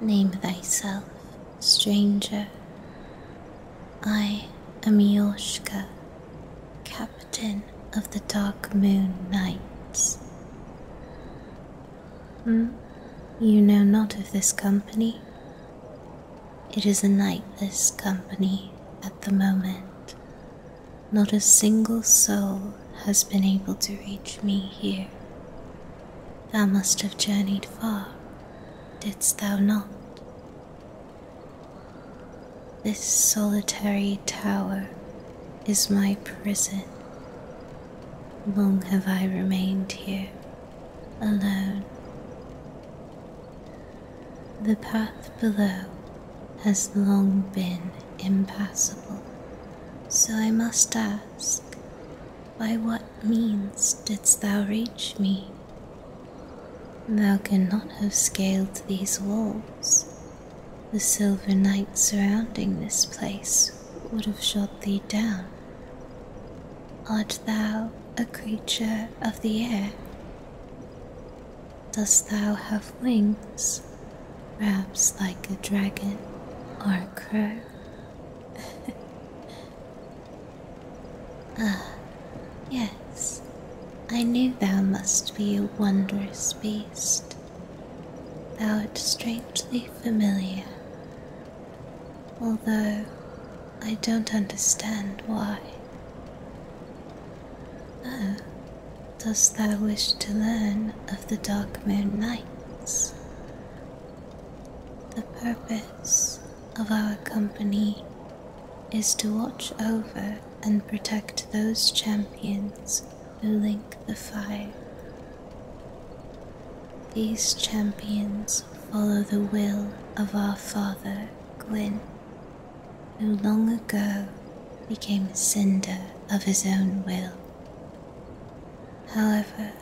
Name thyself, stranger, I am Yoshka, captain of the Dark Moon Knights. Hmm? You know not of this company? It is a nightless company at the moment. Not a single soul has been able to reach me here. Thou must have journeyed far, didst thou not? This solitary tower is my prison. Long have I remained here alone. The path below has long been impassable, so I must ask, by what means didst thou reach me? Thou not have scaled these walls. The silver night surrounding this place would have shot thee down. Art thou a creature of the air? Dost thou have wings, perhaps like a dragon or a crow? Ah, yes, I knew thou must be a wondrous beast. Thou art strangely familiar, although I don't understand why. Oh, dost thou wish to learn of the Dark Moon Nights? The purpose of our company is to watch over and protect those champions who link the fire. These champions follow the will of our father, Gwyn, who long ago became a cinder of his own will. However,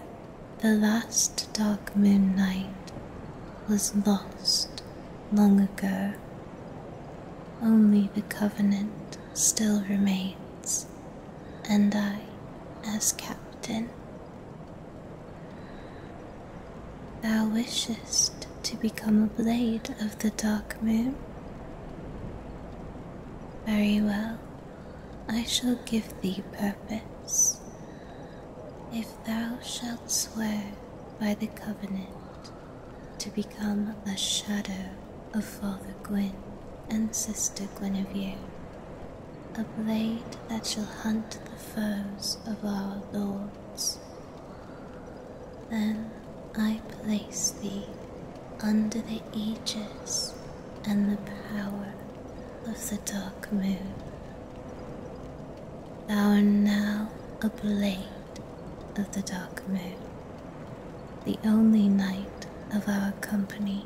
the last dark moon night was lost long ago. Only the covenant still remains, and I, as captain, thou wishest to become a blade of the dark moon? Very well, I shall give thee purpose. If thou shalt swear by the covenant to become a shadow of Father Gwyn and Sister Guinevere, a blade that shall hunt the foes of our lords, then I place thee under the aegis and the power of the dark moon. Thou art now a blade of the dark moon, the only knight of our company.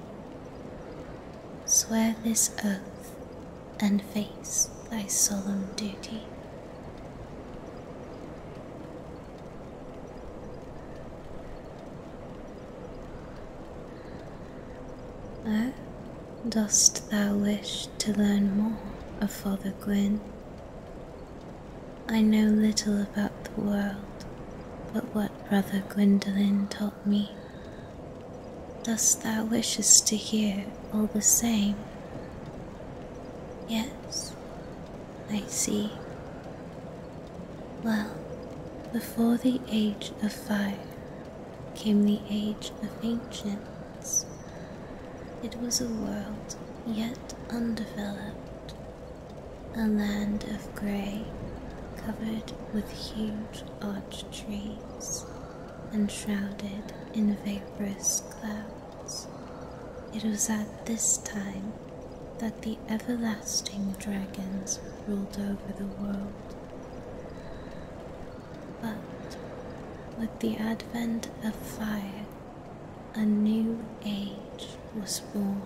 Swear this oath and face thy solemn duty. Oh, dost thou wish to learn more of Father Gwyn? I know little about the world but what Brother Gwyndolin taught me. Dost thou wishest to hear all the same? Yes, I see. Well, before the age of fire came the age of ancients. It was a world yet undeveloped, a land of grey covered with huge arch trees and shrouded in vaporous clouds. It was at this time that the everlasting dragons ruled over the world. But with the advent of fire, a new age was born,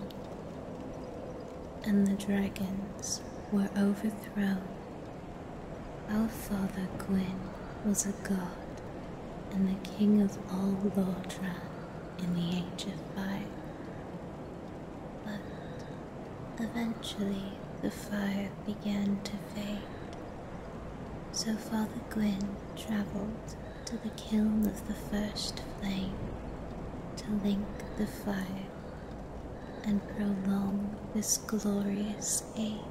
and the dragons were overthrown. Our father Gwyn was a god and the king of all Lordran in the age of fire. But eventually the fire began to fade. So Father Gwyn travelled to the kiln of the first flame to link the fire and prolong this glorious age.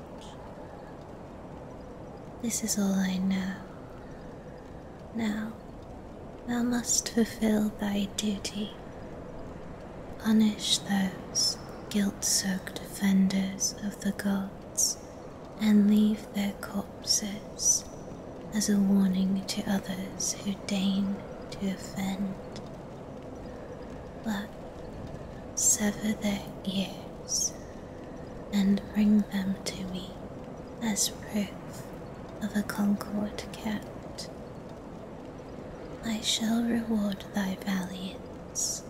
This is all I know now, thou must fulfill thy duty. Punish those guilt soaked offenders of the gods and leave their corpses as a warning to others who deign to offend. But sever their ears and bring them to me as proof of a concord kept. I shall reward thy valiance.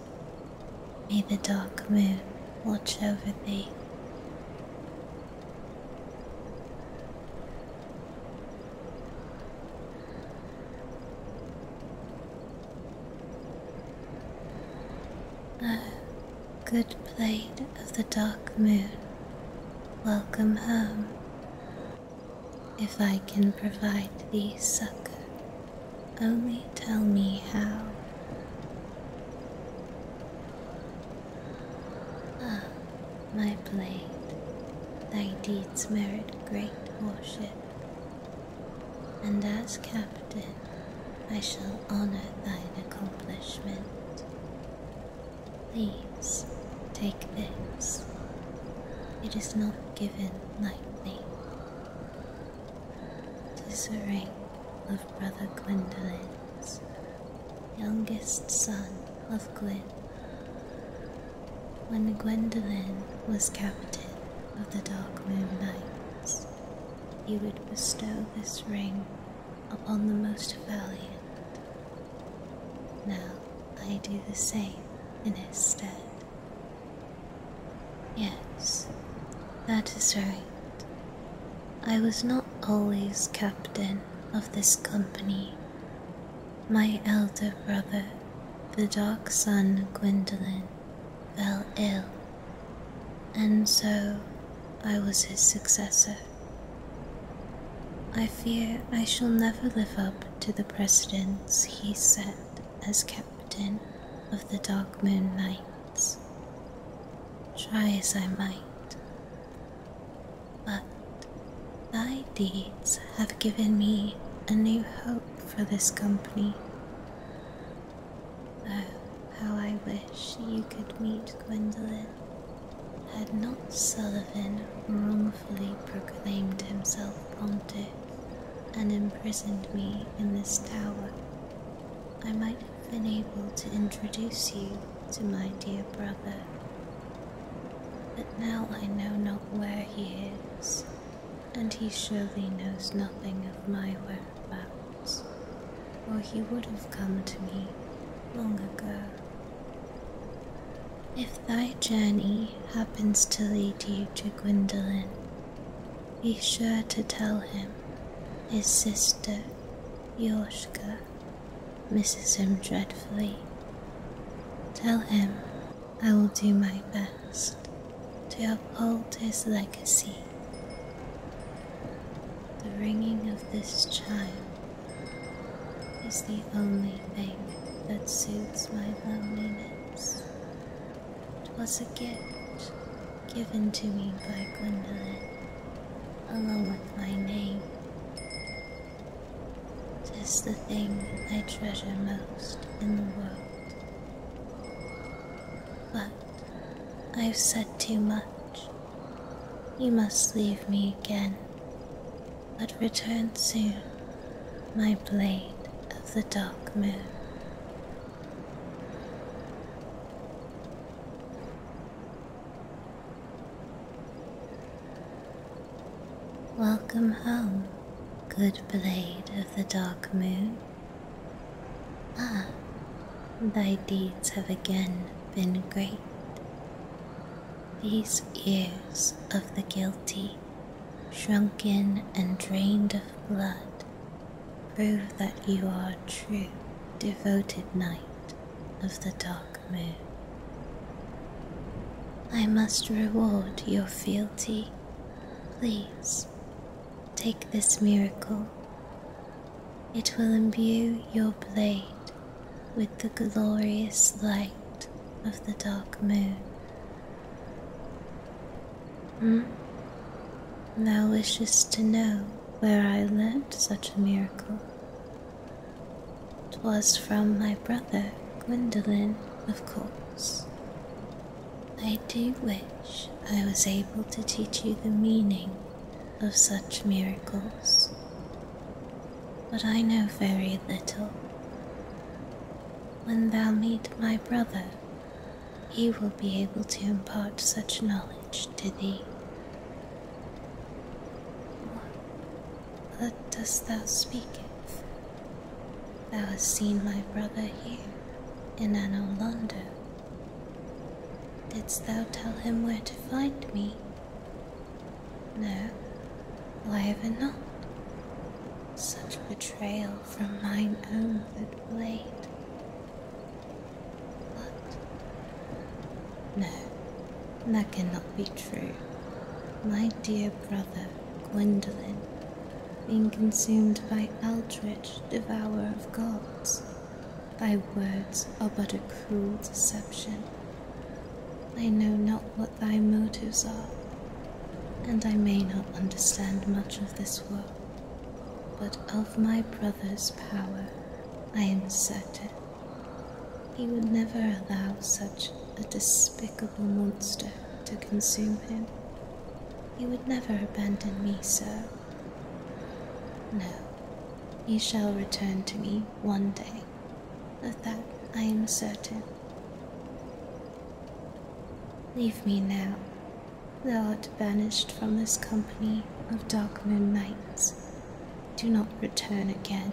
May the dark moon watch over thee. Oh, Good blade of the dark moon, welcome home. If I can provide thee succor, only tell me how. Ah, my blade, thy deeds merit great worship, and as captain I shall honor thine accomplishment. Please take this. It is not given lightly. Tis ring of Brother Gwendolen's, youngest son of Gwyn. When Gwendolen was captain of the Dark Moon Knights, you would bestow this ring upon the most valiant. Now I do the same in his stead. Yes, that is right. I was not always captain of this company. My elder brother, the Dark son Gwyndolin, fell ill and so I was his successor. I fear I shall never live up to the precedence he set as captain of the Dark Moon Knights, try as I might. But thy deeds have given me a new hope for this company, Oh, how I wish you could meet Gwendolen. Had not Sullivan wrongfully proclaimed himself pontiff and imprisoned me in this tower, I might have been able to introduce you to my dear brother. But now I know not where he is, and he surely knows nothing of my whereabouts, or he would have come to me long ago. If thy journey happens to lead you to Gwyndolin, be sure to tell him his sister, Yorshka, misses him dreadfully. Tell him I will do my best to uphold his legacy. The ringing of this chime is the only thing that soothes my loneliness. It was a gift given to me by Gwendolyn, along with my name. It is the thing I treasure most in the world. But I've said too much. You must leave me again, but return soon, my blade of the dark moon. Welcome home. Good blade of the dark moon. Ah, thy deeds have again been great. These ears of the guilty, shrunken and drained of blood, prove that you are true, devoted knight of the dark moon. I must reward your fealty Please take this miracle. It will imbue your blade with the glorious light of the dark moon. Hmm? Thou wishest to know where I learnt such a miracle. 'Twas from my brother Gwendolen, of course. I do wish I was able to teach you the meaning of such miracles, but I know very little. When thou meet my brother, he will be able to impart such knowledge to thee. What dost thou speak of? Thou hast seen my brother here, in Anno Londo. Didst thou tell him where to find me? No, why ever not? Such betrayal from mine own good blade. What? No, that cannot be true. My dear brother, Gwendolen, being consumed by Aldrich, devourer of gods, thy words are but a cruel deception. I know not what thy motives are, and I may not understand much of this world, but of my brother's power I am certain. He would never allow such a despicable monster to consume him. He would never abandon me so. No, he shall return to me one day. Of that I am certain. Leave me now. Thou art banished from this company of dark moon nights. Do not return again.